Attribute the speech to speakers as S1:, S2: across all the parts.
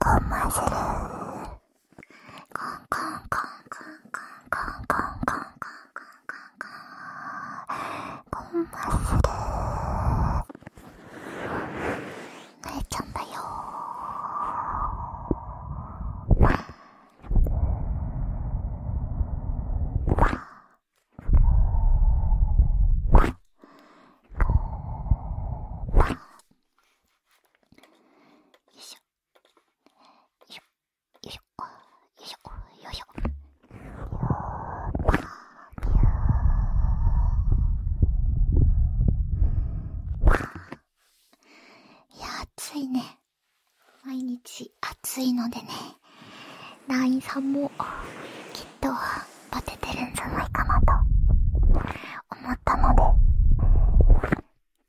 S1: コンマするコンコンコンコンコンコンコンコンコンコンコンコンコンコンちゃんだよよいしょよいしょよいしょよいしょいや暑いね毎日暑いのでねインさんもきっとバテてるんじゃないかなと思ったので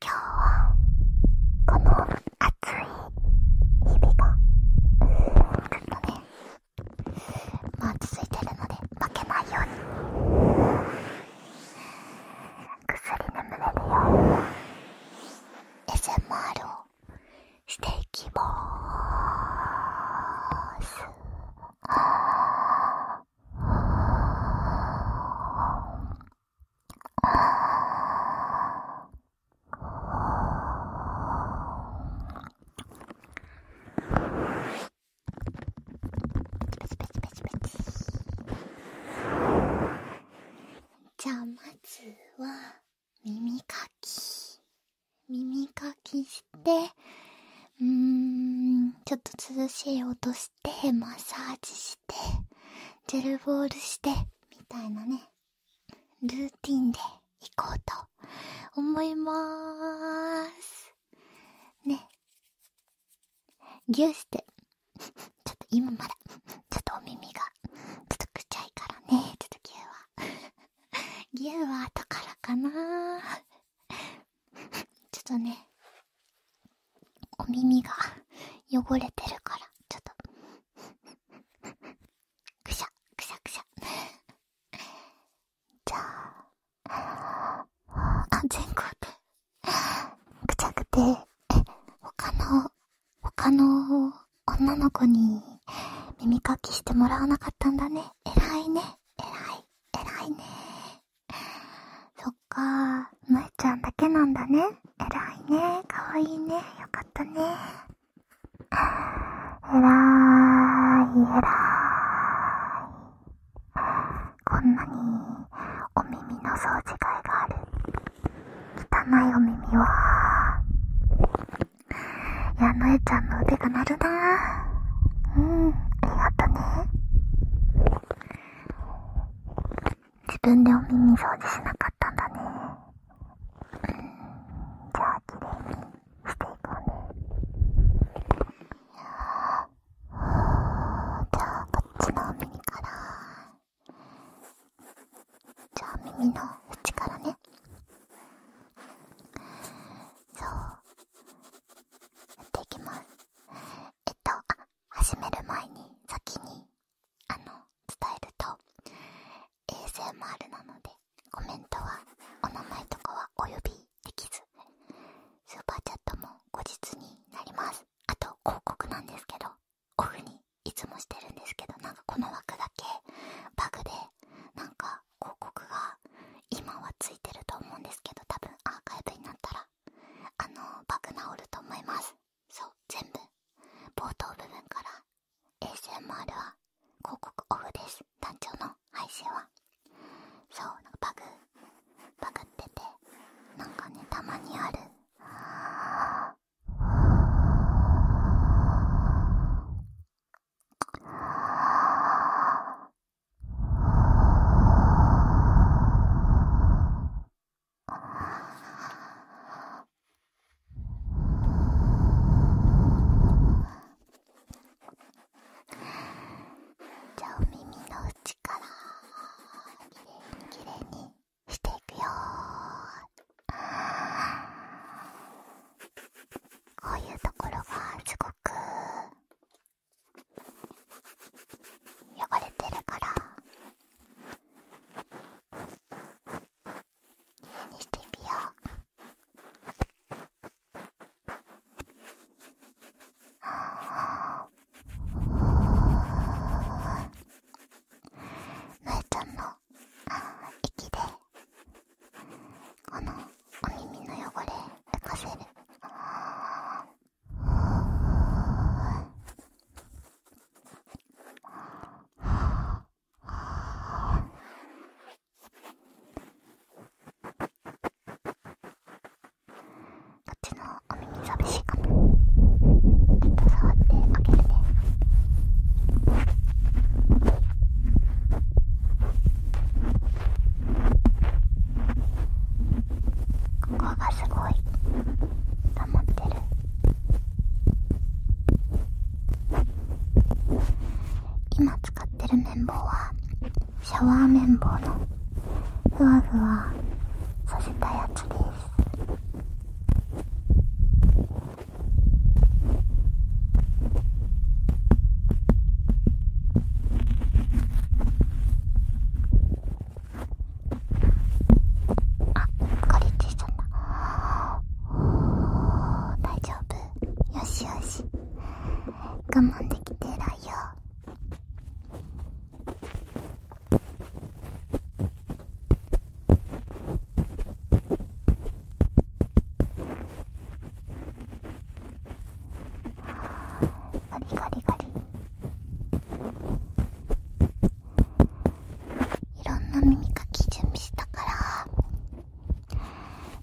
S1: 今日はこの暑い日々がちょっとねまあ続いてるので負けないようにぐっすり眠れるよ SMR をしていきまーすペチペチペチチパチじゃあまずは耳かき耳かきしてうんちょっと涼しい音してマッサージしてジェルボールしてみたいなねルーティンでいこうと思いまーすねぎゅーしてちょっと今まだちょっとお耳がちょっとくちゃいからねちょっとぎゅーはギューは後からかなちょっとねお耳が汚れてるからちょっとくしゃくしゃくしゃ
S2: じゃああ全校でくちゃくて、他の、他
S1: の女の子に耳かきしてもらわなかったんだね。偉いね。偉い。偉いね。そっか、むちゃんだけなんだね。偉いね。かわいいね。よかったね。偉い、偉い。こんなにお耳の掃除会がある汚いお耳はいやのえちゃんの腕が鳴るなうんありがとね自分でお耳掃除しなかったんだねじゃあ綺麗にしていこうねじゃあこっちの耳からじゃあ耳の内からねそうやっていきますえっと始める前に先にあの伝えると衛星もあるなのでコメントはお名前とかはお呼びできずスーパーチャットも後日になりますあと広告なんですけどオフにいつもしてるんですけどなんかこの枠だけバグでなんか広告が今はついてると思うんですけど多分アーカイブになったらあのバグ直ると思いますそう全部冒頭部分から ASMR は広告オフです団長の配信はそうなんかバグバグっててなんかねたまにある
S2: じゃあお耳の内からきれいにきれいにしていくよこういうところがすごく汚れてるからきれいにしていくよ。えちゃんの息でこのお耳の汚れ浮かせるあこっちのお耳寂しいかもちょっと触ってあげるねここがすごいまってる今使ってる綿棒は
S1: シャワー綿棒のふわふわ
S2: させたやつです
S1: あっリッチいちゃった大丈夫よしよし我慢できて偉いよあガリガリガリいろんな耳かき準備したから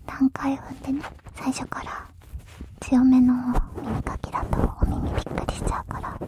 S1: 段階踏んでね最初から強めの耳かきだ
S2: とお耳びっくりしちゃうから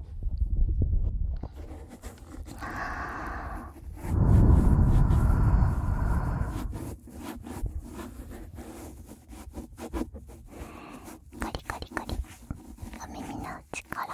S2: カリカリカリお耳の内から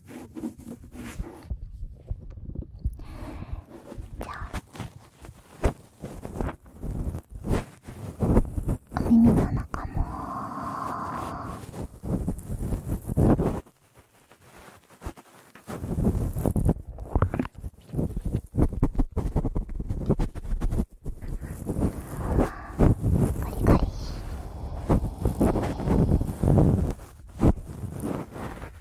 S2: じゃあお耳の中もカリカリ。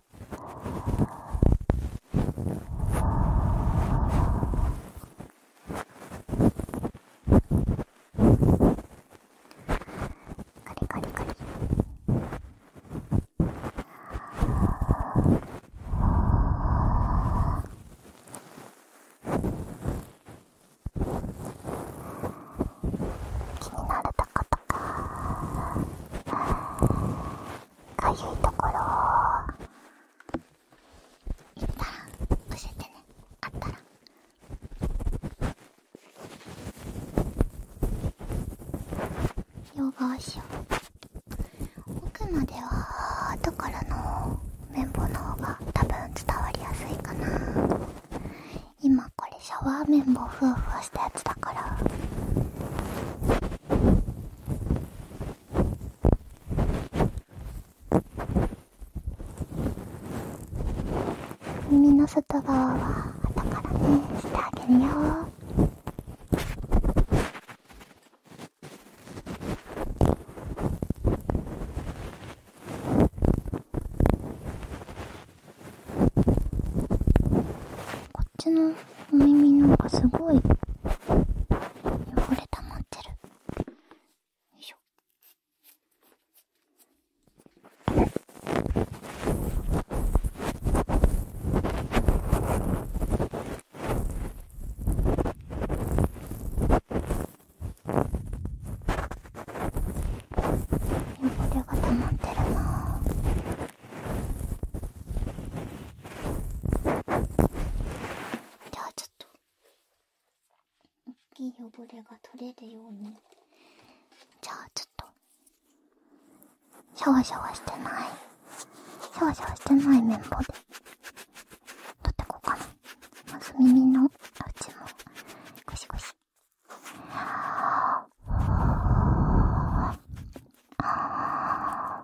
S2: カリカリカリ。
S1: 気になるとことか。こういところ言ったら教えてねあったら両側しよう奥までは後からの綿棒の方が多分伝わりやすいかな今これシャワー綿棒ふわふわしたやつだから耳の外側は後からねしてあげるよこっちのお耳なんかすごい汚れ
S2: たまってるよいしょ汚れがたま
S1: ってるなぁじゃあちょっと大きい汚れが取れるようにじゃあちょっとシャワシャワしてないシャワシャワしてない綿棒で取ってこうかなまず耳のうちもゴシゴシああ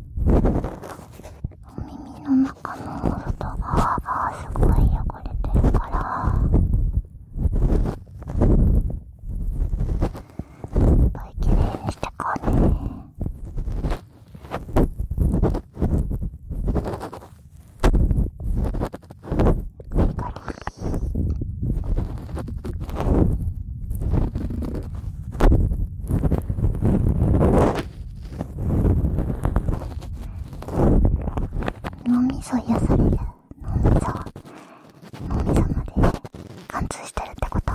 S1: お耳の中の外側がすごい汚れてるからいっぱいきれいにしてこうねガリガリ。脳みそ癒される脳みそ脳みそまで貫通してるってこと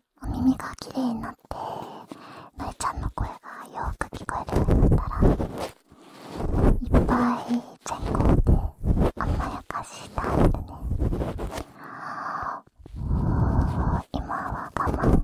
S1: お耳が綺麗になってのえちゃんの声がよく聞こえるようになったらいっぱい全校で甘やかしたいよね今は我慢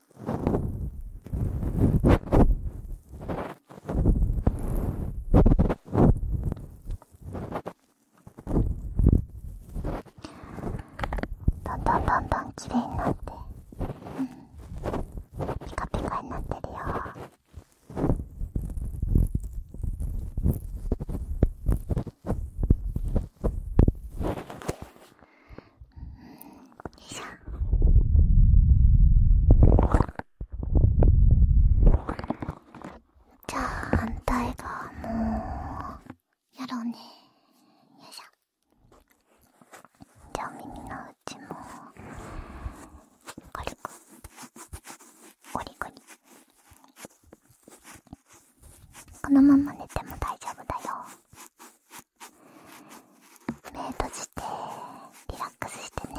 S1: どんどんどんどん綺麗になって、うん、ピカピカになってるよ
S2: よいしょじゃあ反対側も
S1: やろうねよいしょじゃあ耳の内も軽くゴリゴリこのまま寝ても大丈夫だよ
S2: 目閉じてリラックスしてね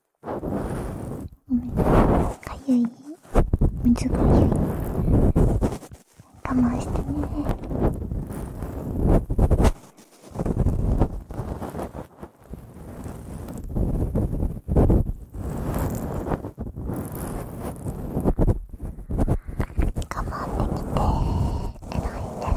S2: おめでかゆい水がゆい。我慢してね。我慢できて、えらいえらい。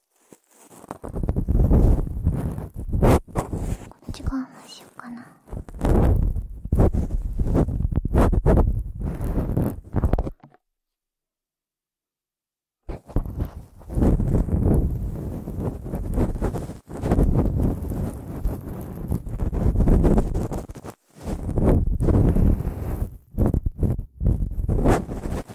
S1: こっち側もしようかな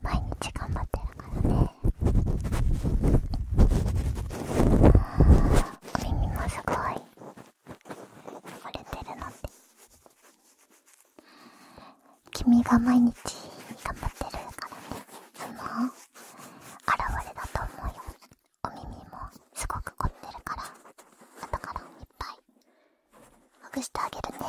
S1: 毎日頑張ってるからねよお耳もすごい汚れてるのって君が毎日頑張ってる
S2: からねその現れだと思うよお耳もすごく凝ってるから後からいっぱいほぐしてあげるね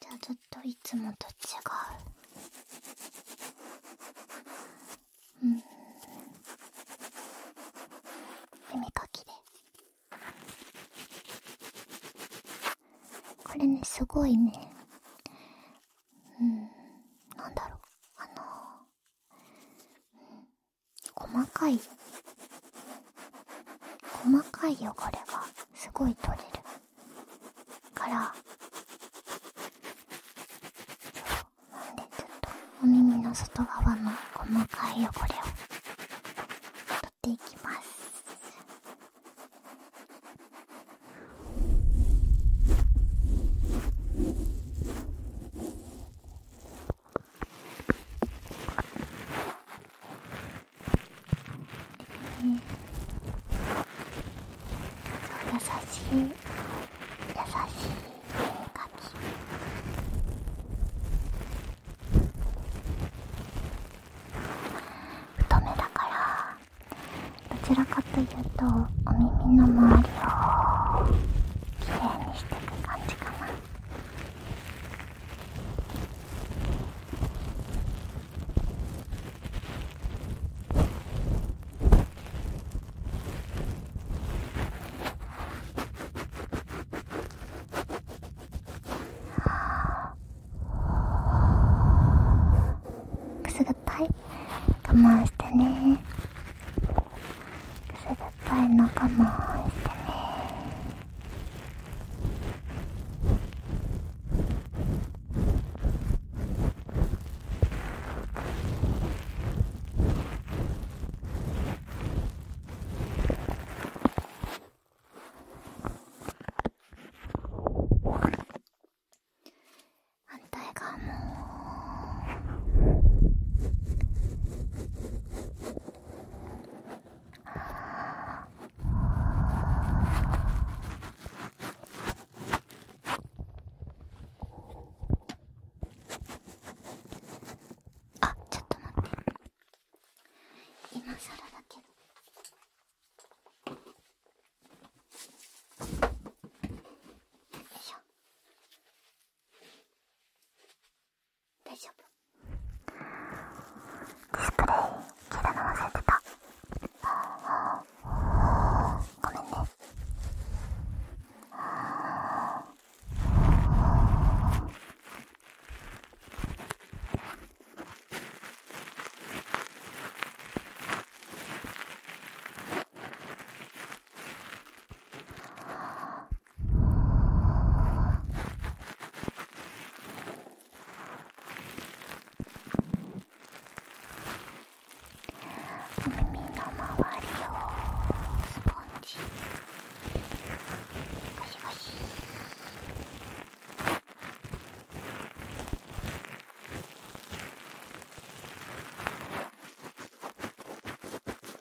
S1: じゃあずっといつもと違
S2: ううん耳かきで
S1: これねすごいねうんなんだろうあの細かい細かい汚れがすごい取れるからなんでちょっとお耳の外側の細かい汚れを取っていきます優しい優しいき。太めだからどちらかというとお耳の周りをきれにしてく感じかな。くすぐったい我慢してね。冷たい仲間をしてね反対側もあちょっと待って今更だけど。よいしょ大丈夫スプレイ切るの忘れてた
S2: ごめんね耳の周りをスポンジ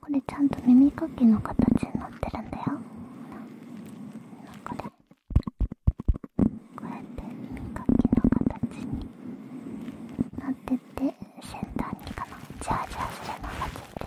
S1: これちゃんと耳かきの形になっ
S2: てるんだよこれこ
S1: うやって耳かきの形になってて先端にか
S2: なジャージャーするのがついて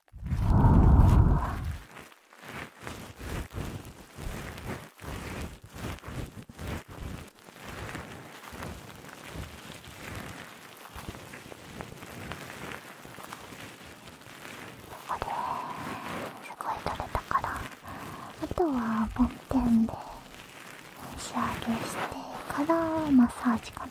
S1: すここで、すごい食れたからあとはボンテンで仕上げしてからマッサージかな。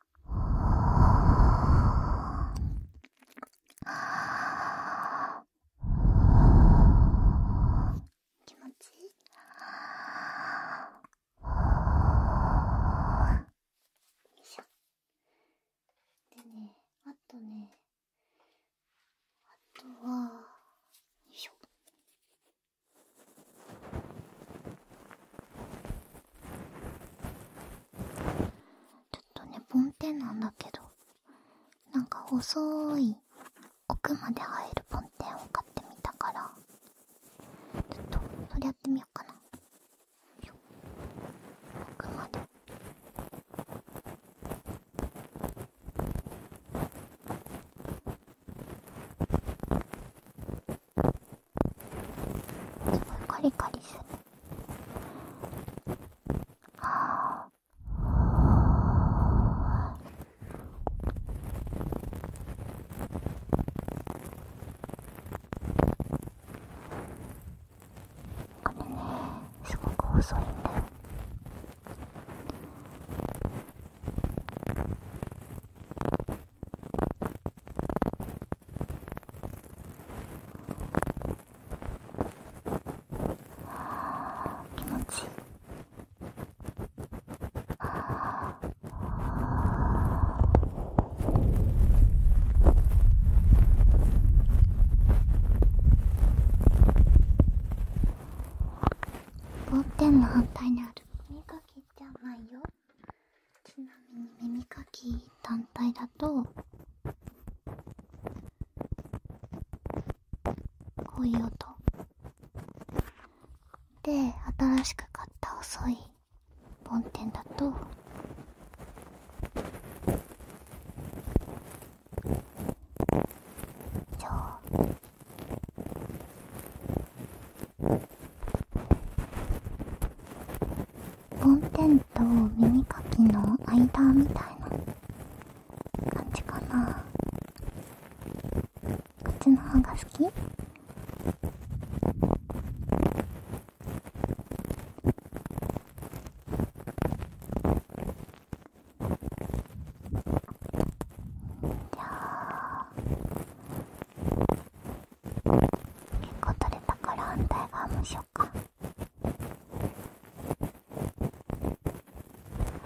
S1: 気持ちいいよいしょでねあとねあとはよいしょちょっとねポンテンなんだけどなんか細い奥まで入るポンテンを買ってみたから
S2: ちょっとそれやってみようかな奥まで。すごいカリカリするああこれねすごく細いんだよ
S1: はあ気持ちいいあボーテンの反対にあるみかきじゃないよちなみに耳かき単体だとこういう音で新しく買った細い梵天だと梵天と耳かきの間みたいな感じかな口の方が好き
S2: じゃあ結構取れたから反対側もしよっか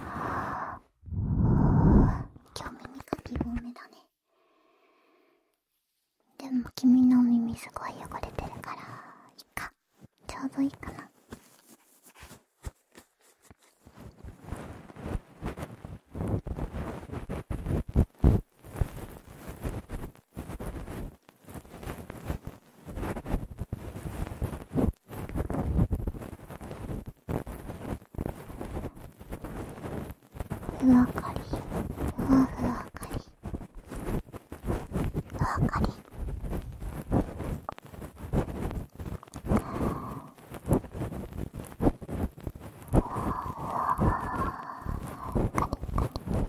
S2: あ
S1: 今日耳かき多めだねでも君の耳すごい汚れてるからいいかちょうどいいかな
S2: ふわかりふわふわかりふわかりふわふわかり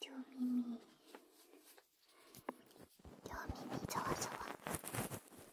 S2: 両耳両耳ざわざわ耳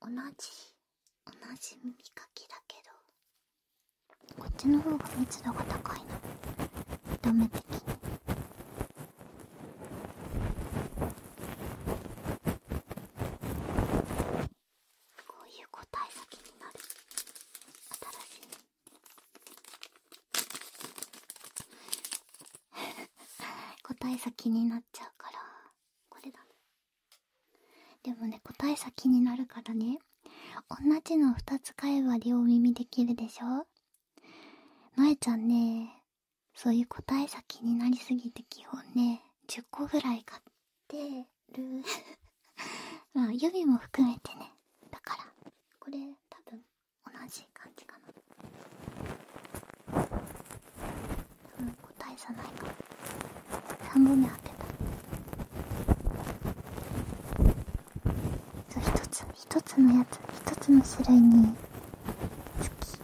S1: 同じ同じ耳かきだけ
S2: どこっちの方が密度が高いな見た目的にこういう答えが気になる新
S1: しい 答え先になっちゃうからこれだでもね答え先になるからね同じの2つ買えば両耳できるでしょ舞ちゃんねそういう答え先になりすぎて基本ね10個ぐらい買ってる まあ指も含めてねだからこれ多分同じ感じかな答え個体ないか半本目当てた一つ一つのやつ一つの種類につき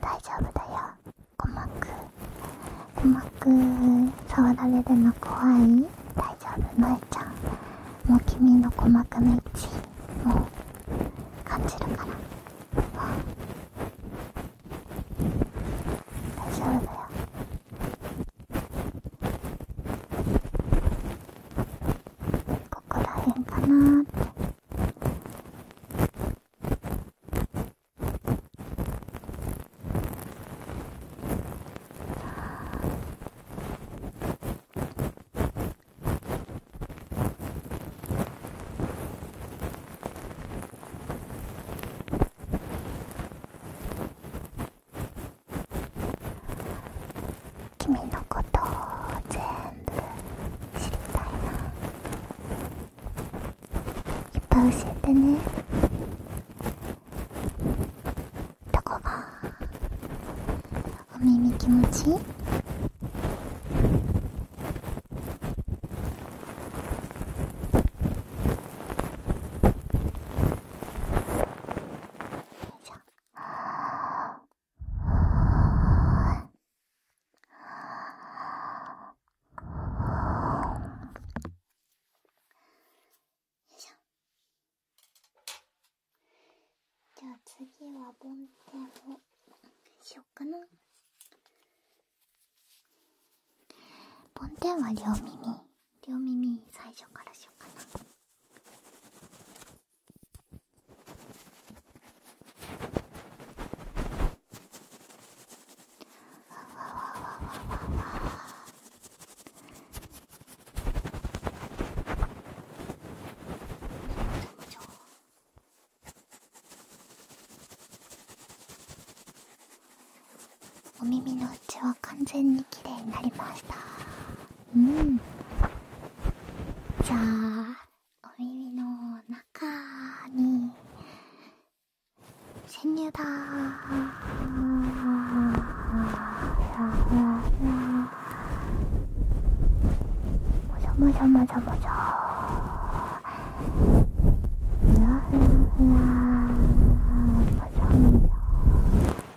S2: 大丈夫だよ鼓膜鼓
S1: 膜触られるの怖い大丈夫のちゃんもう君の鼓膜の位置もう
S2: 感じるから大丈夫だよここら辺かなーって君のことを全部知りたいな
S1: いっぱい教えてねどこがお耳気持ちいいじゃあいしょじゃあ次はボンテをしよっかなボンテンは両耳両耳最初からしようかなわわわわわお耳の内は完全にきれいになりました。うんじゃあお耳の中にせ潜入だもじゃもじゃもじゃもじゃふやふやふやもじゃもじゃ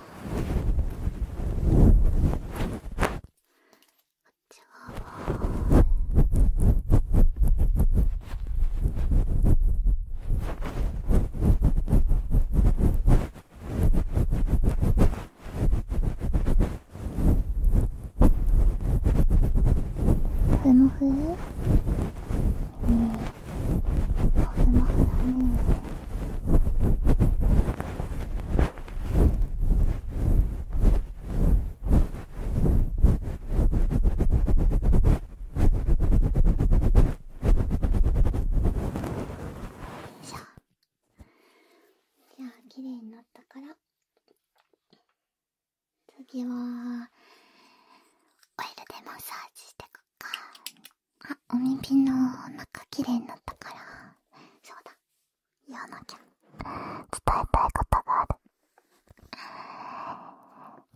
S2: ち側もふもふもふもふだねじ
S1: ゃあ綺麗になったから次はオイルでマッサージしてくかあお耳の中きれいになったからそうだ言わなきゃ伝えたいことがある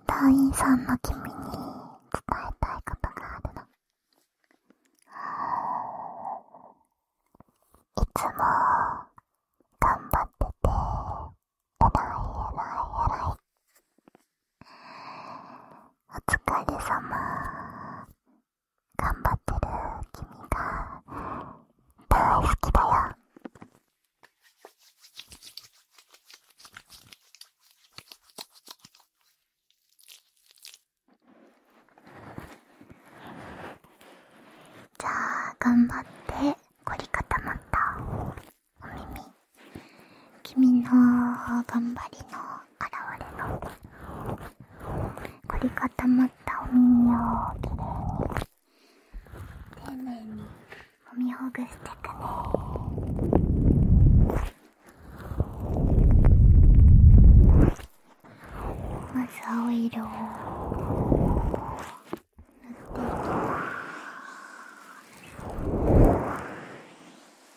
S1: 団員さんの君に伝えたいことがあるのいつも頑張ってて偉い偉い偉いお疲れ様頑張ってる君が大好きだよじゃあ頑張って凝り固まったお耳君の頑張りの現れの凝り固まったお耳をきれいに丁寧に揉みほぐしてくねまず青色を塗っていきます。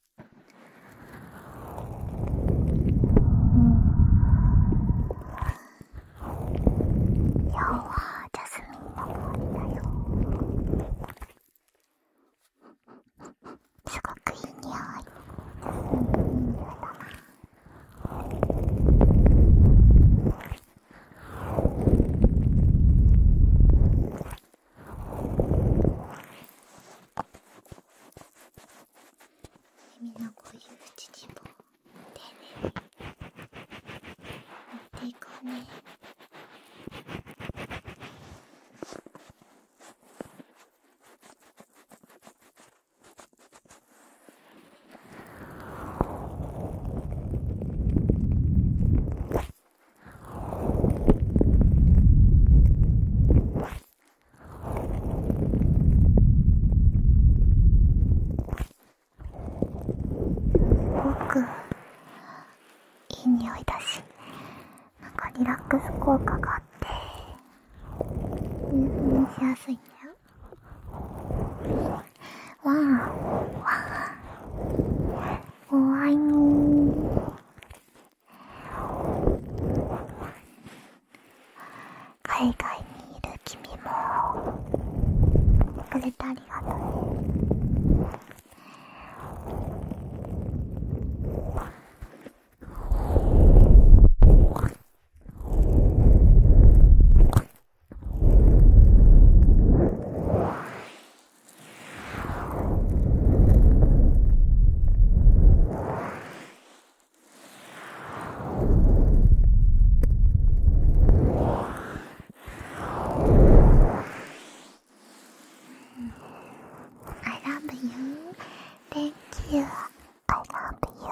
S2: 今日はジャスミンのりだよすごくいい匂いみんなこういう乳棒丁寧に塗っていこうね
S1: すごくいい匂いだしなんかリラックス効果があって入
S2: 眠しやすいんだわあわおわいの？ー海外にいる君もくれてありがとうね
S1: I love you. Thank you. I love you.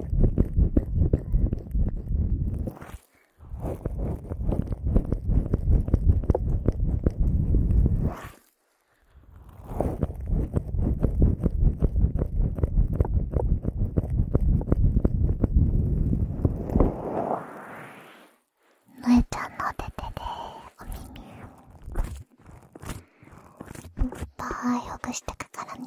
S1: のえちゃんのお手手でお耳いっぱいほぐしてくからね。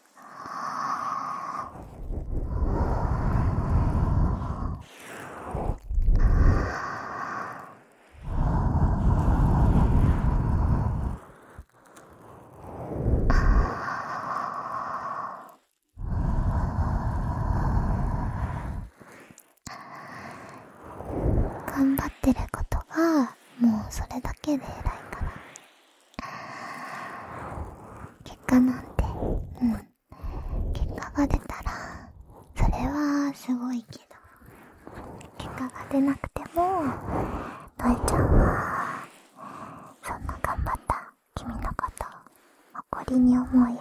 S1: 頑張ってることがもうそれだけで偉いから結果なんてうん結果が出たらそれはすごいけど結果が出なくてものちゃんはそんな頑張った君のこと誇りに思うよ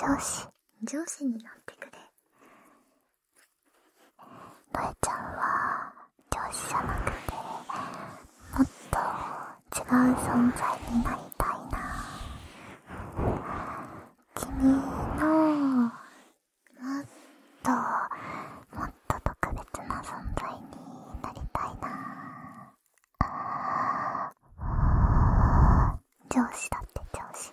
S1: 上司上司になってくれノえちゃんは上司じゃなくてもっと違う存在になりたいな君のもっともっと特別な存在に
S2: なりたいな上司だって上司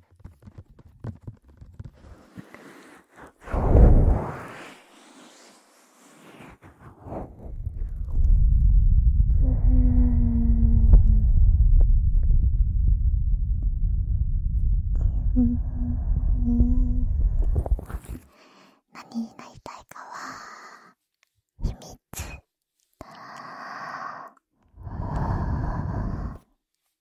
S2: う何になりたいかは秘密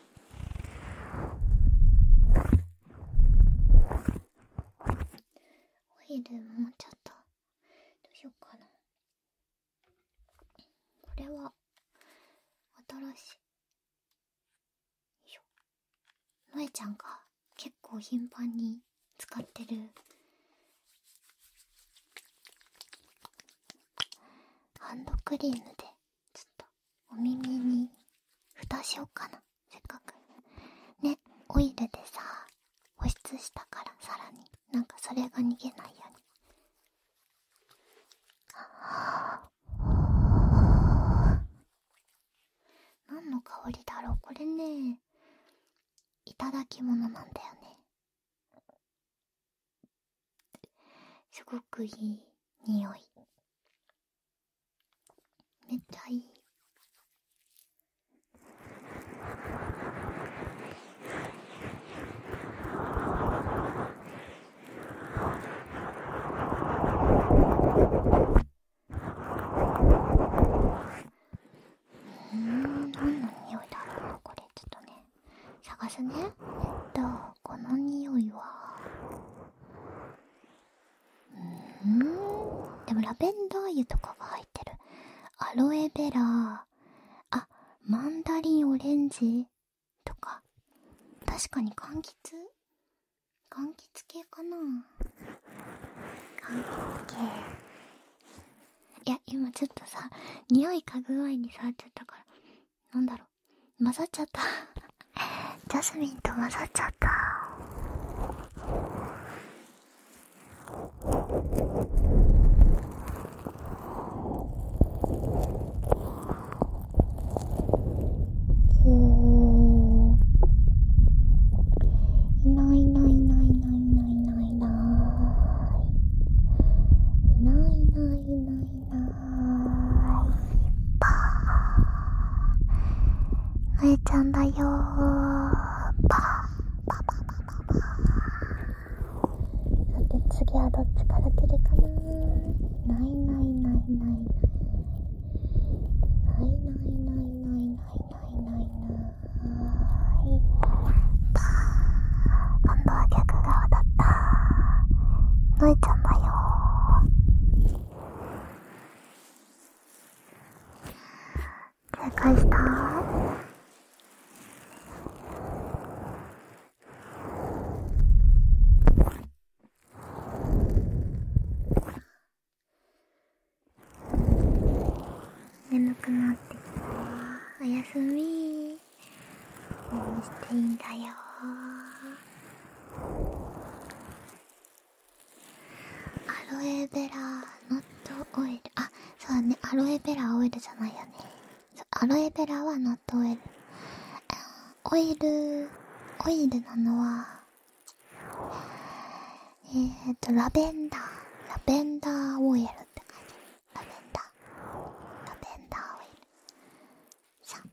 S1: オイルもちょっとどうしようかなこれは新しいよいしまえちゃんが結構頻繁に使ってるハンドクリームでちょっとお耳に蓋しようかなせっかくねオイルでさ保湿したからさらになんかそれが逃げないようにああ何の香りだろうこれねいただきものなんだよねすごくいい匂いめっちゃいいうん何の匂いだろうこれちょっとね探すねえっとこの匂いはうんでもラベンダー油とかが入ってるアロエベラー。あマンダリンオレンジとか確かに柑橘柑橘系かな
S2: 柑橘系
S1: いや今ちょっとさ匂い嗅ぐ前に触っちゃったからなんだろう混ざっちゃった ジャスミンと混ざっちゃったほーいないいないいないいないいないいないいないいないいないーのえちゃんだよーパーパパパパパさ次はどっちから出るかなないないないないないないないないないないないないパー今度は逆側だったのえちゃんだよー正解した眠くなってきたおやすみ何していいんだよアロエベラーノットオイルあそうだねアロエベラーオイルじゃないよねアロエベラはノットオイルオイルオイルなのはえっとラベンダーラベンダーオイルって感じラベンダーラベンダーオイルさあ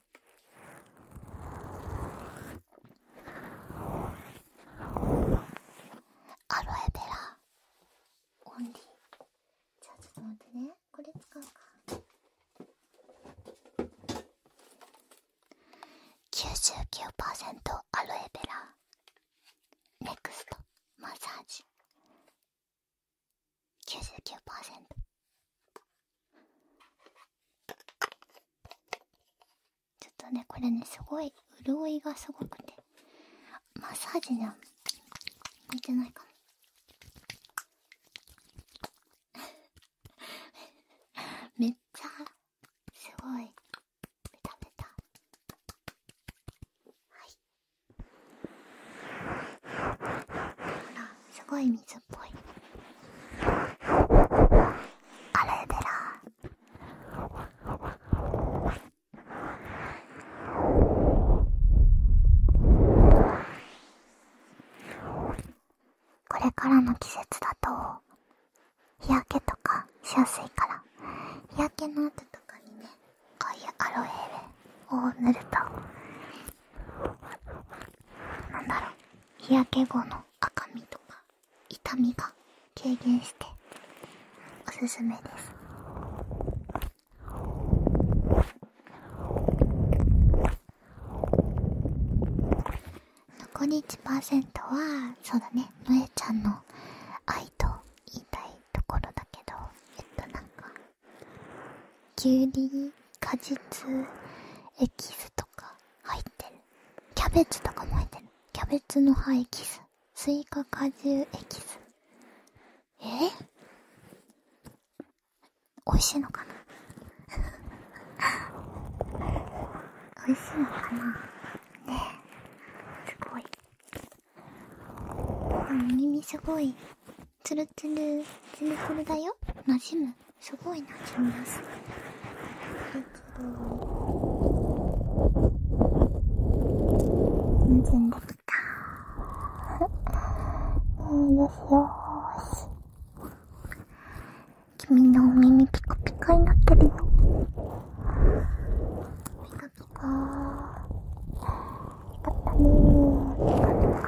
S1: アロエベラオンリーじゃあちょっと待ってねこれ使うか99%アロエベラネクストマッサージ99%ちょっとねこれねすごい潤いがすごくてマッサージじゃん向いてないかな？めっちゃすごいベタベタはいほらすごい水っぽいこれからの季節だと日焼けとかしやすいから日焼けの跡とかにねこういうアロエを塗るとなんだろう日焼け後の赤みとか痛みが軽減しておすすめです残り1%はそうだねのえちゃんの愛と言いたいところだけどえっとなんかきゅうり果実エキスとか入ってるキャベツとかも入ってるキャベツの葉エキススイカ果汁エキスえ美味しいのかな 美味しいのかなねえすごい耳すごいツルツルツルツルだよなじむすごいなじみすいだけ全できたえー、よしよ君のお耳ピカピカになってるよピカピカよったねピカピカ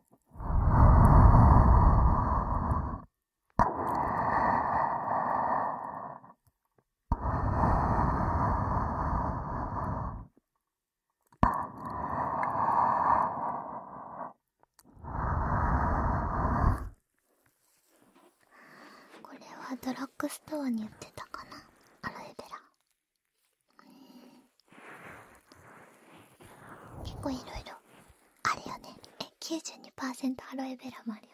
S1: これはドラッグストアに売ってたかなアロエベラ。結構いろいろあるよねえ92%アロエベラもある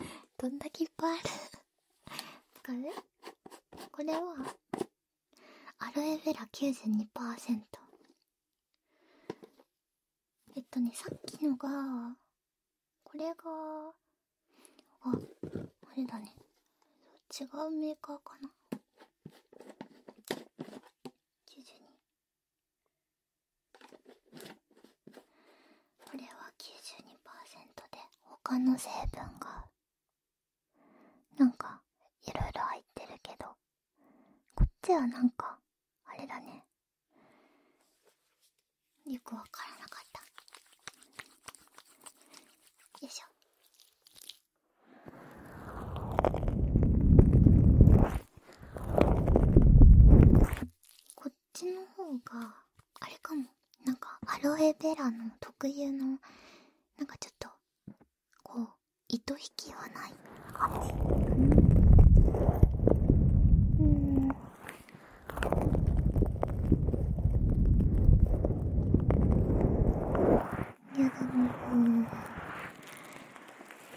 S1: よ どんだけいっぱいあるこね、これはアロエベラ92%えっとねさっきのがこれがああれだね違うメーカーかな92。これは92%で他の成分がなんかいろいろ入ってるけどこっちはなんかあれだねよくわからなかったよいしょん。こっちの方があれかもなんかアロエベラの特有のなんかちょっとこう糸引きはないうん。うんいやでも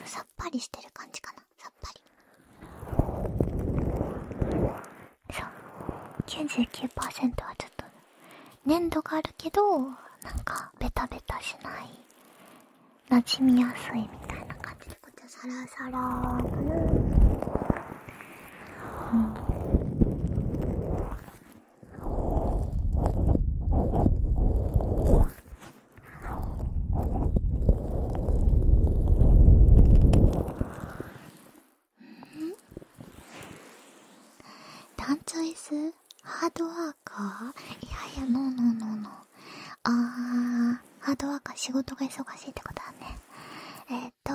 S1: さっぱりしてる感じかなさっぱりそう99%はちょっと粘度があるけどなんかベタベタしないなじみやすいみたいな感じでこっちはサラサラかなうんダンチョイスハードワーカーいやいや、ノーノーノーノー。あー、ハードワーカー仕事が忙しいってことだね。えっ、と、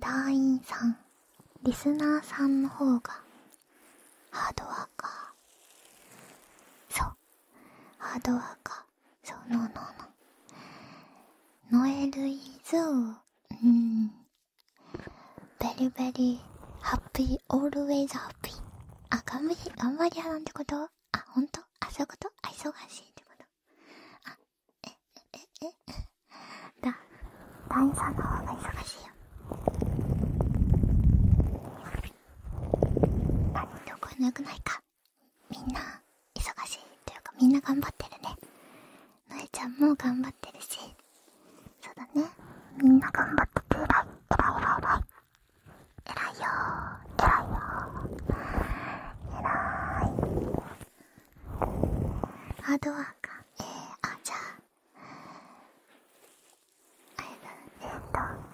S1: 団員さん。リスナーさんの方がハードワーカーそうハードワーカーそうノーノーノーノエルイーうー…ベリベリハッピーオールウェイズハッピーあ頑張り頑張り屋なんてことあ本当あそういうことあ忙しいってことあええええだ団員さんの方が忙しいよどこの声よくないかみんな忙しいというかみんな頑張ってるねのえちゃんも頑張ってるしそうだねみんな頑張ってて偉い偉い偉いい偉いよ偉いよ偉いハードワーカえー、あじゃあ I don't know.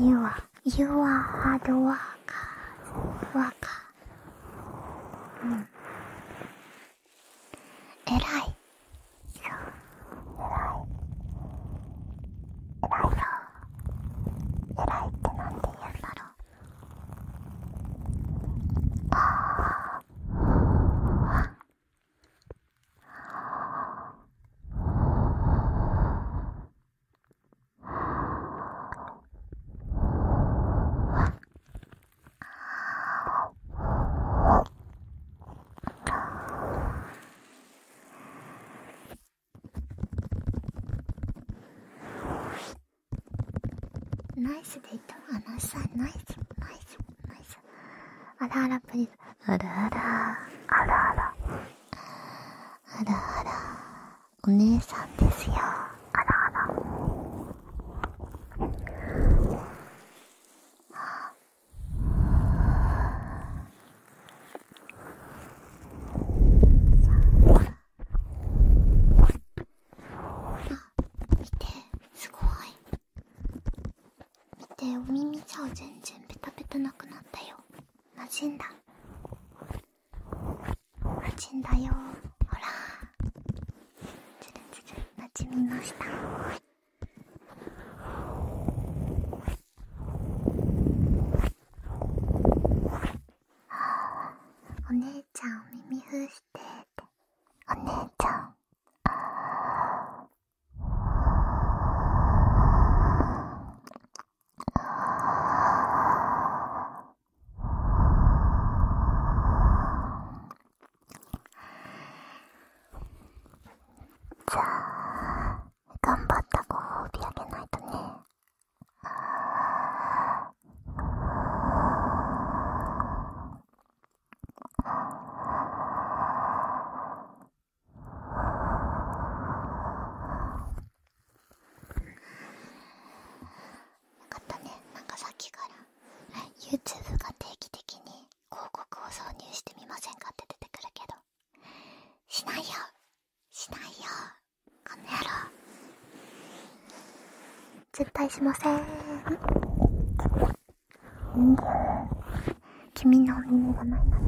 S1: You are, you are hard worker, worker. うん。偉い。そう。偉い。偉い。そう。偉いってなんて言うんだろう。ああ。ナイスでイトあナイスナイスナイスナイスあらあらプリズあらあらあらあらあらあらお姉さんですよあらあらあ見てすごい見てお耳ちゃう全然ベタベタなくなったよなじんだなじんだよほらつるつるなじみましたお姉ちゃんお耳封してお姉ちゃんじゃあ頑張ったご褒美あげないとねよかったねなんかさっきから YouTube が定期的に広告を挿入してみませんかって出てくるけどしないよしないよこの野郎絶対しません君の耳がないな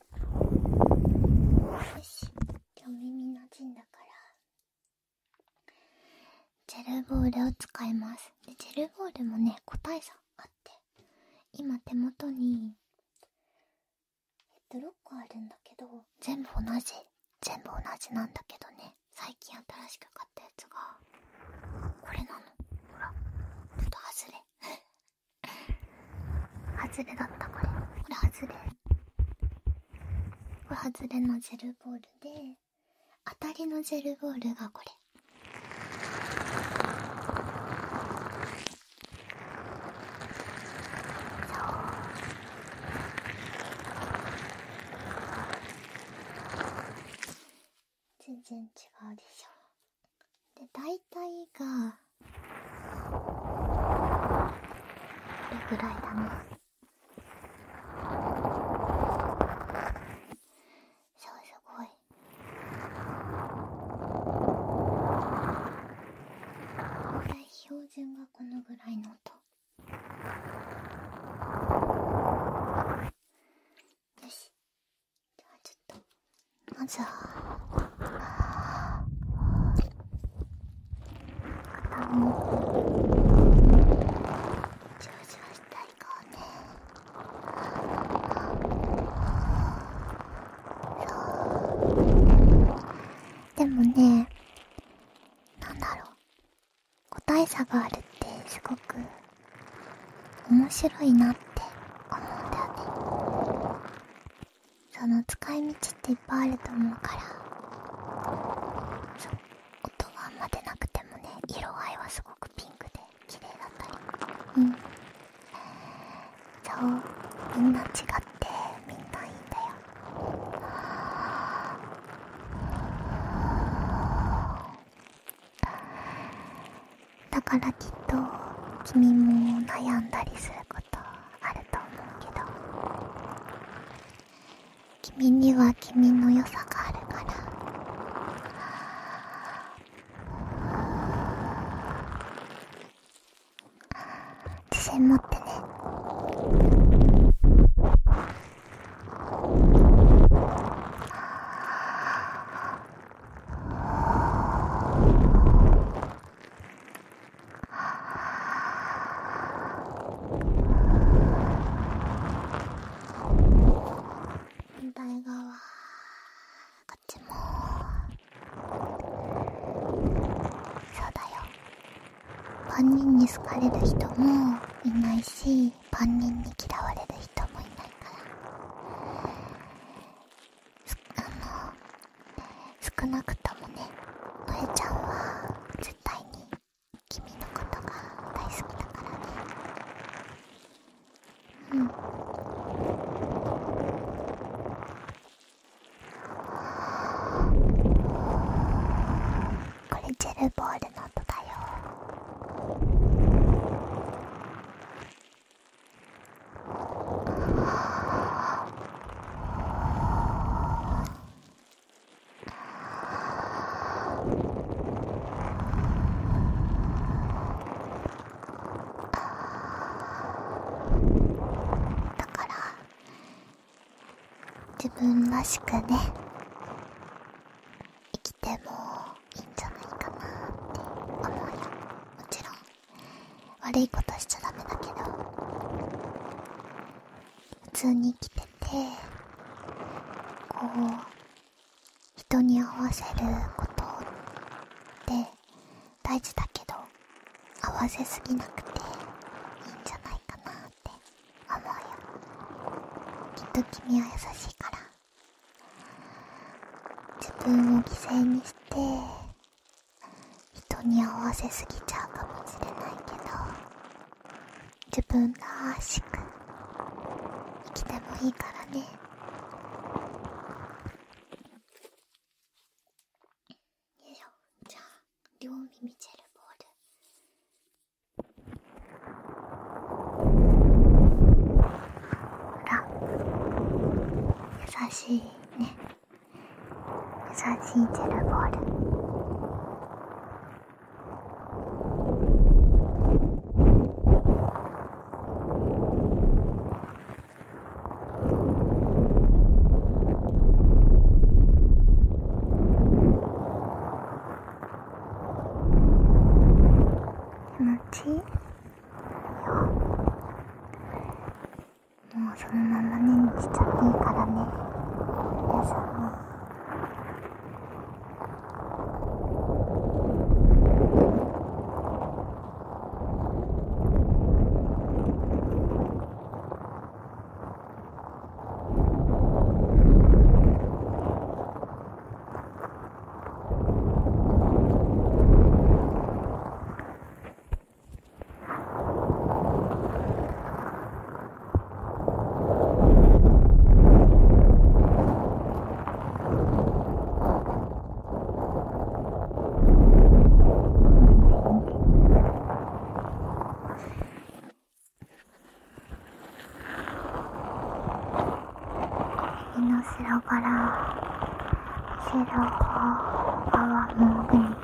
S2: よし今日耳なじんだからジ
S1: ェルボールを使いますでジェルボールもね個体差あって今手元にえっと6個あるんだけど全部同じ全部同じなんだけどね最近新しく買ったやつがこれなのほらちょっと外れ外れだったこれこれ外れこれ外れのジェルボールで当たりのジェルボールがこれ全然違うでしょで
S2: 大体がこれぐらいだなそうすごい大体標準がこのぐらいの音
S1: よしではちょっとまずは肩も上手したい顔ねそうでもねなんだろう個体差があるってすごく面白いなって思うんだよねその使い道っていっぱいあると思うからそう音はあんま出なくてもね色合いはすごくピンクで綺麗
S2: だった
S1: りうんそうみんな違ってみんないいんだよああ。だからきっと君も悩んだりすることあると思うけど君には君の良さがあるから自信持ってねあ反対側こっちもそうだよ万人に好かれる人もいないし万人に嫌われる人もいないからあの少なくともねのえ
S2: ちゃんは絶対に君のことが大好きだからねうんこ
S1: れジェルボールの音だよああ。だから自分らしくね生きてもいいんじゃないかなって思うよもちろん悪いことしちゃだめだけど普通に生きててこう人に合わせることって大事だけど合わせすぎなくていいんじゃないかなって思うよきっと君は優しいから自分を犠牲にして人に合わせすぎちゃうかもしれないけど自分らしく生きてもいいからねよいしょじゃあ両耳チェルボールほら優しいいうね優しいジェルボール気持ちいいよもうそのままねにしちゃっていいからね皆さんねうん。胃の白ながら後ろ側も上に。うん、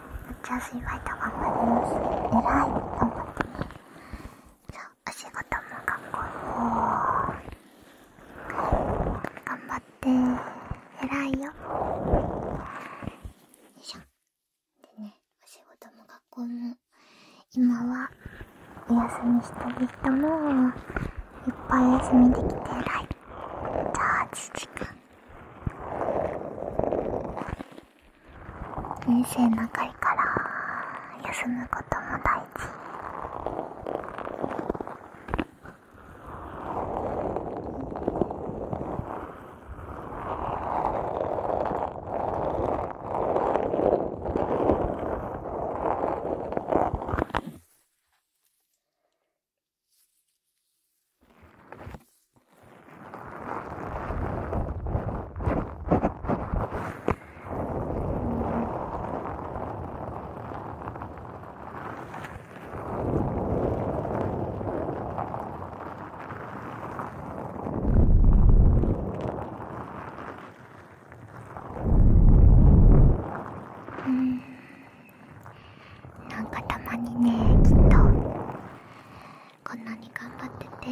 S1: めっちバイトたまんないですらいと思ってそうお仕事も学校も頑張ってえらいよよいしょでねお仕事も学校も今はお休みしてる人もいっぱい休みできて偉いじゃあ8時間人生長いから休むことも大事うんなんかたまにねきっとこんなに頑張ってて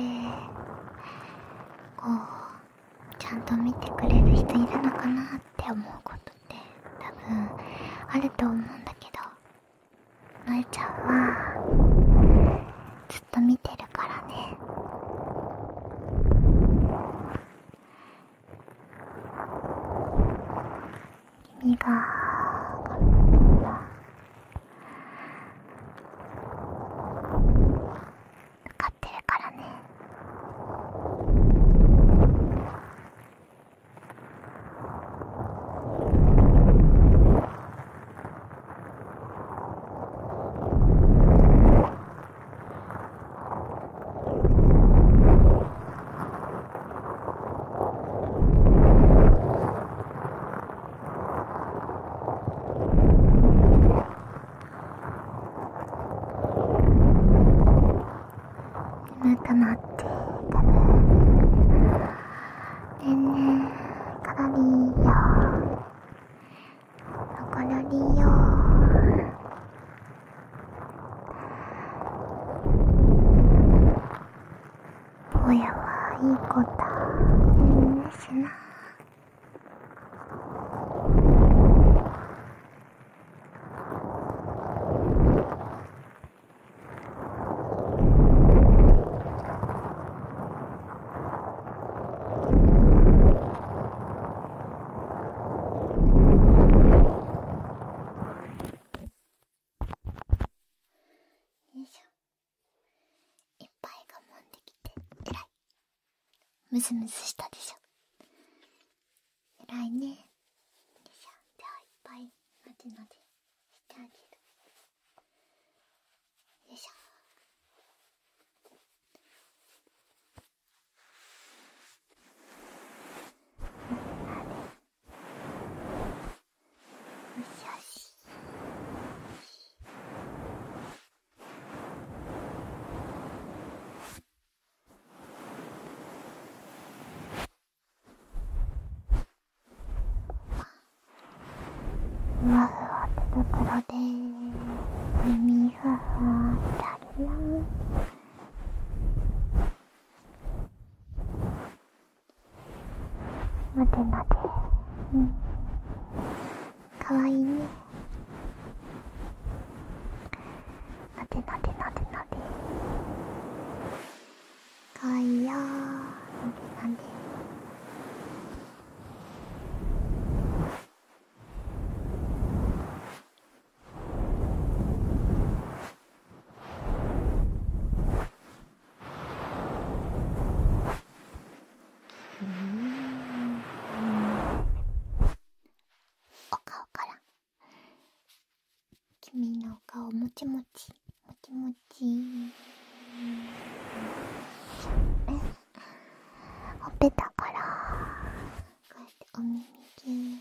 S1: こうちゃんと見てくれる人いるのかなって思うことって多分あると思うんだけどまえちゃんはずっと見てるからね
S2: 君が分かってるからね「
S1: 眠くなってねえねえカロリーよカロリーよぼ
S2: やはいい子だいいですな
S1: よいしょ。いっぱい我慢できてえらいムズムズしたでしょえらいねよいしょじゃあいっぱいなでなでしてあげるよいしょなでよしよし。ふわふところで耳ふふわして
S2: あよなでなでうん
S1: かわいいねなでなでなでなでかわいいよなでなでうん。お顔から君のお顔もちもちもちも
S2: ちほっぺたからこうやってお耳キュ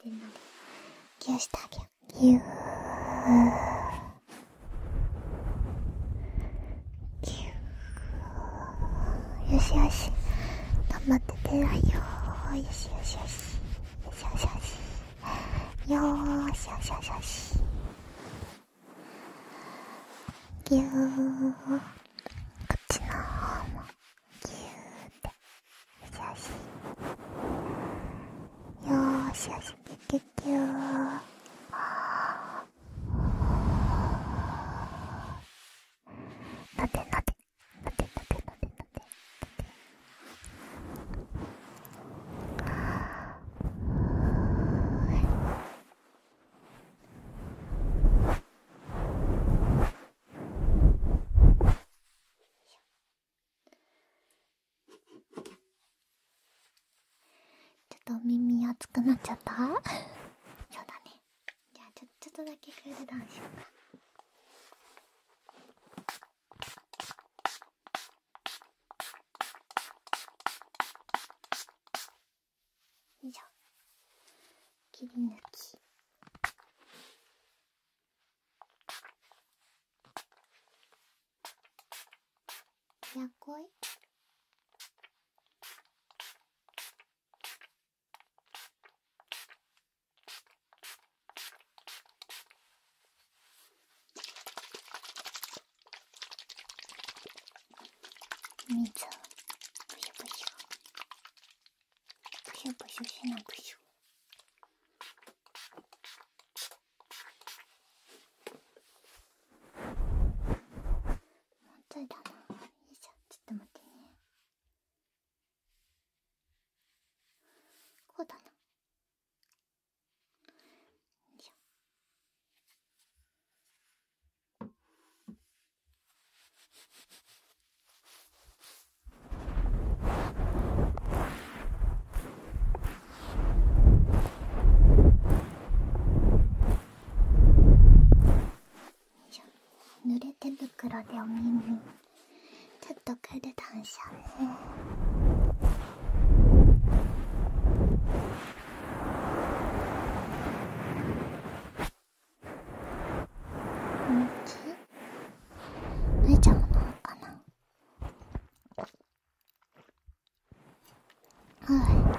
S1: ぎゅうしてあげようぎゅうぎゅー…よしよし頑張っててらよよしよしよしよしよしよし
S2: よーしよしよしよしぎゅーこっちの方もぎゅーっ
S1: てよしよしよーしよしぎゅぎゅぎゅーなでなでなでなでなでなでちょっと耳熱くなっちゃった そうだねじゃあちょちょっとだけクールダウンしようかよいしょ切り抜きやこい水をブシュブシュブシしなくしょ
S2: ちょっと待ってこうだなよいしょ
S1: 濡れ手袋でお耳ちょっとクールダウンしちゃうね気脱いちゃうのかなはい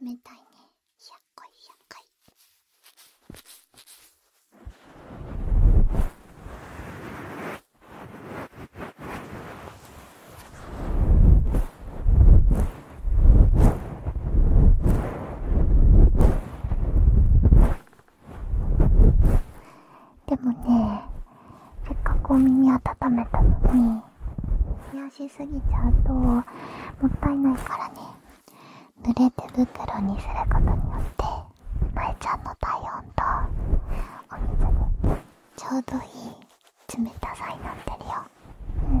S1: 冷たいね100回100回でもねせっかくお耳温めたのに冷やしすぎちゃうともったいないからね濡れ手袋にすることによってまえちゃんの体温とお水にちょうどいい冷たさになってるよ、うん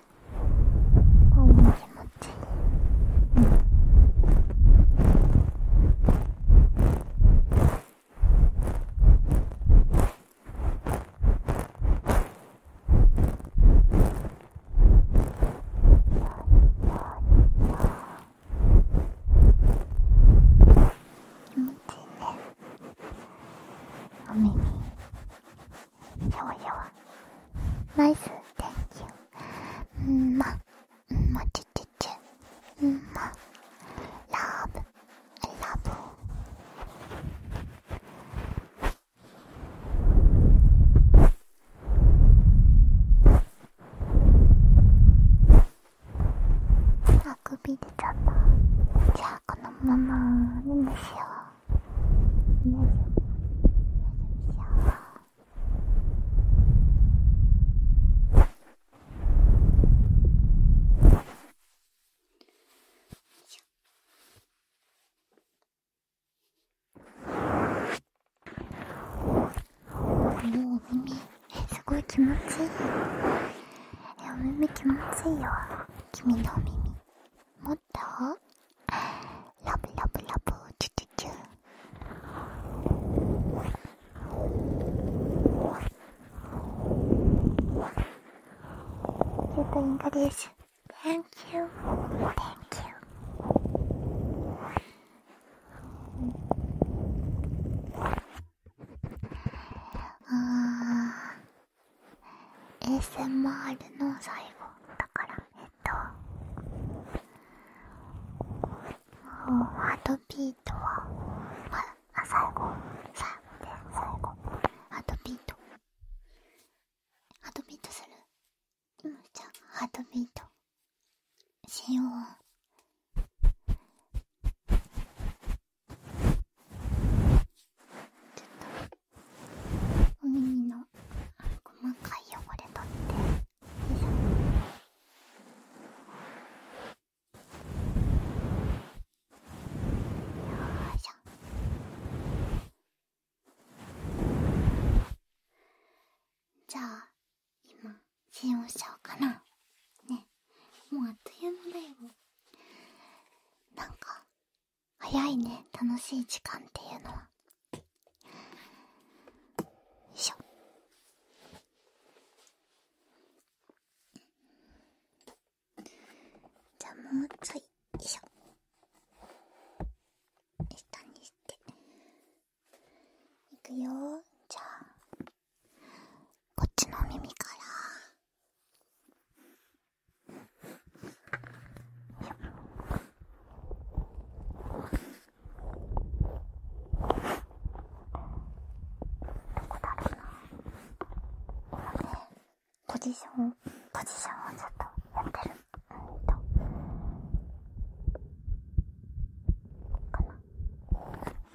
S2: こうも気持ちいい。うん
S1: 気持ちいいねおによわよわナイスン天気うんまうんまちちちうんまラブラブあくび出ちゃったじゃあこのまま寝ましよう
S2: 寝ましよう
S1: お耳すごい気持ちいいお耳気持ちいいよ君のお耳もっとラブラブラブチュチュチュちょっとインカです Thank you Thank you あ ASMR の最後だからえっとハートビートは
S2: あ最
S1: 後最後です最後ハートビートハートビートする今じゃハートビートしようちょっとお耳の細かい汚れ取ってよいしょじゃあ今使用しちゃおうかなねもうあっという間だよなんか早いね楽しい時間っていうのはよいしょじゃあもうちょいよいしょ下にしていくよじゃあこっちの耳からよいしょ。ポジションポジションをずっとやってるうんとかなタクタク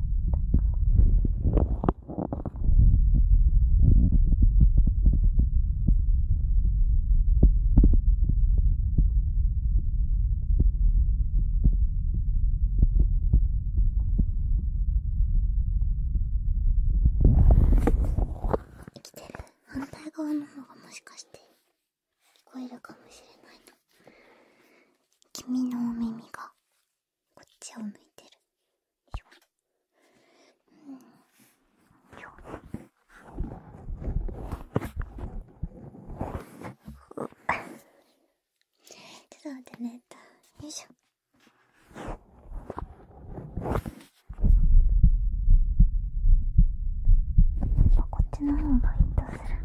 S1: 生
S2: きてる反
S1: 対側の方がもしかして聞こえるかもしれないの君のお耳がこっちを向いてるようんよっちょっと待ってねよいしょこっちの方がいいとする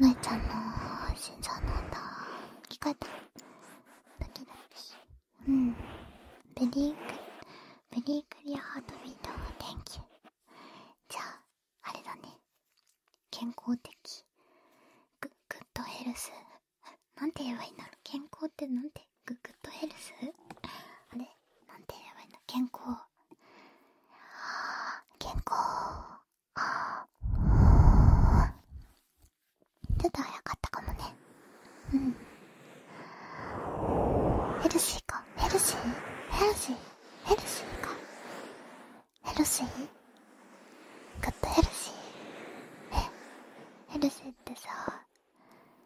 S2: のいちゃんの心臓の音聞こえたドキドキうん
S1: ベリーベリークリアハートビートは天気じゃああれだね健康的グッグッドヘルスなんて言えばいいんだろう健康ってなんてグッグッドヘルスあれなんて言えばいいんだ健康健康ちょっと早かったかもねうんヘルシーかヘルシーヘルシーヘルシーかヘルシーグッとヘルシーえヘルシーってさ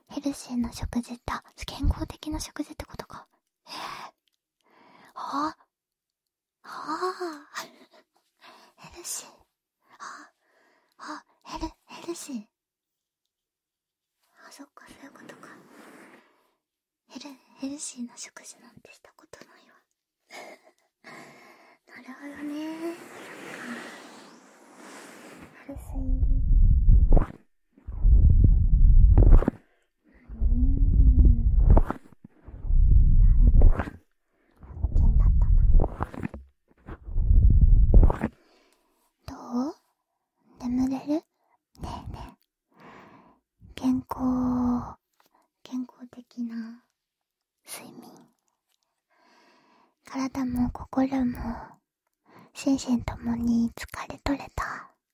S1: ヘルシーな食事って健康的な食事ってことかええあああヘルシーああヘルヘルシーあそっかそういうことかヘルヘルシーな食事なんてしたことないわ なるほどねそっかヘルシー
S2: んだったなどう眠れるねえねえ健康
S1: 健康的な睡眠体も心も心身ともに疲れとれた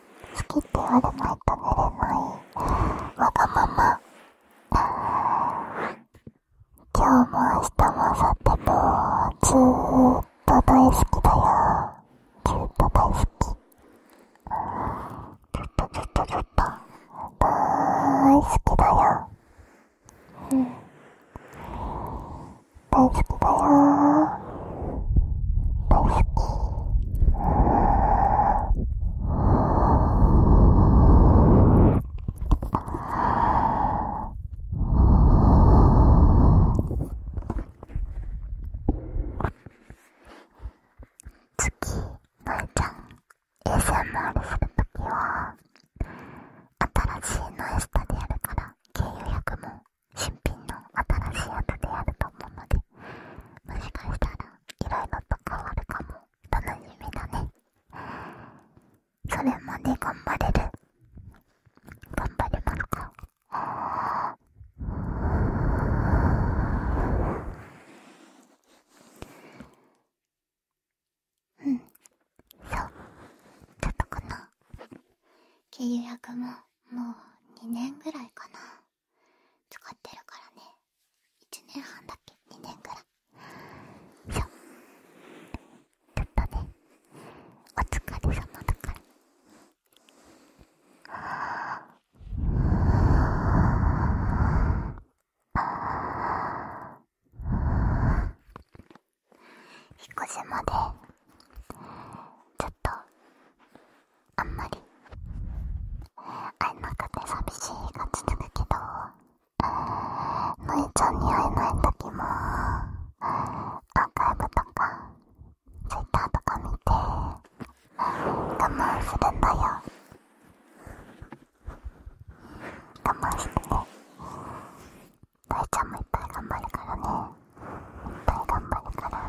S2: 好きって言われないと寝れないわがまま。今日も明日も明後日もずーっと大好きだよ。ずーっと大好き。ずっとずっとずっと大好きだよ。大好きだよ。次、のえちゃん a s ールするときは新しいノエスタでやるから k 4 0も新品の新しいやつでやると思うのでもしかしたらいろいろと変わるかも楽しみだねそれまで頑
S1: 張れる頑張れますかうんそうちょっとこの契約ももう2年ぐらいかな使ってるからね1年半だっけ2年ぐらいそうちょっとねお疲れ様だから引っ越しまでちょっと
S2: あんまり会えなくて寂しい感じだけどのちゃんに会えない時もアーカイブとかツイッターとか見て我慢するんだよ我慢してねのちゃんもいっぱい頑張るからねいっぱい頑張るから。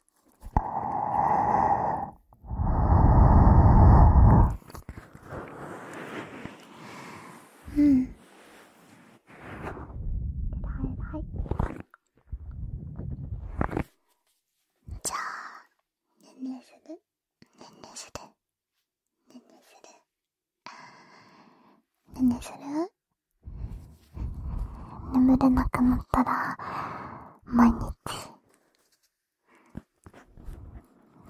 S2: うん偉い偉いじゃあねんねんねするねんねするねんねする眠れなくなったら毎日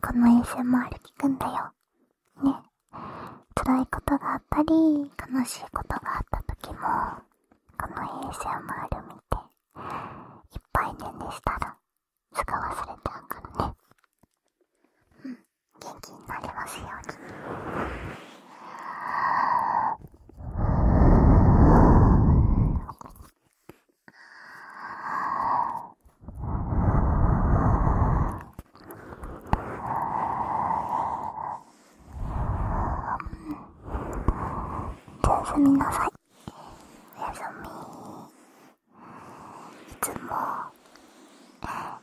S1: この ASMR 聞くんだよ。ね。辛いことがあったり、悲しいことがあったとき
S2: も、この ASMR
S1: 見て、いっぱいねんねしたら、すぐ忘れちゃうからね。うん。元気になりますように。
S2: すみなさいおやすみ
S1: いつも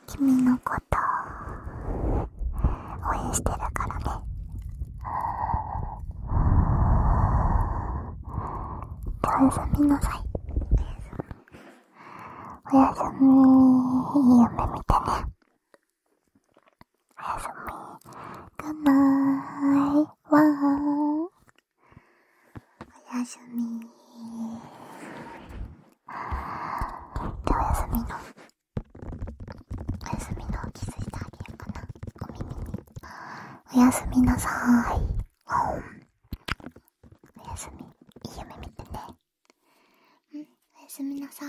S1: 君のこと応援してるからね
S2: おやすみなさい。
S1: おやすみ、いい夢見てね。おやすみ、ぐんないわー。おやすみ。で、おやすみの、おやすみの気づいてあげようかな。お耳に。おやすみなさい。おやすみ。いい夢見てね。うん、おやすみなさい。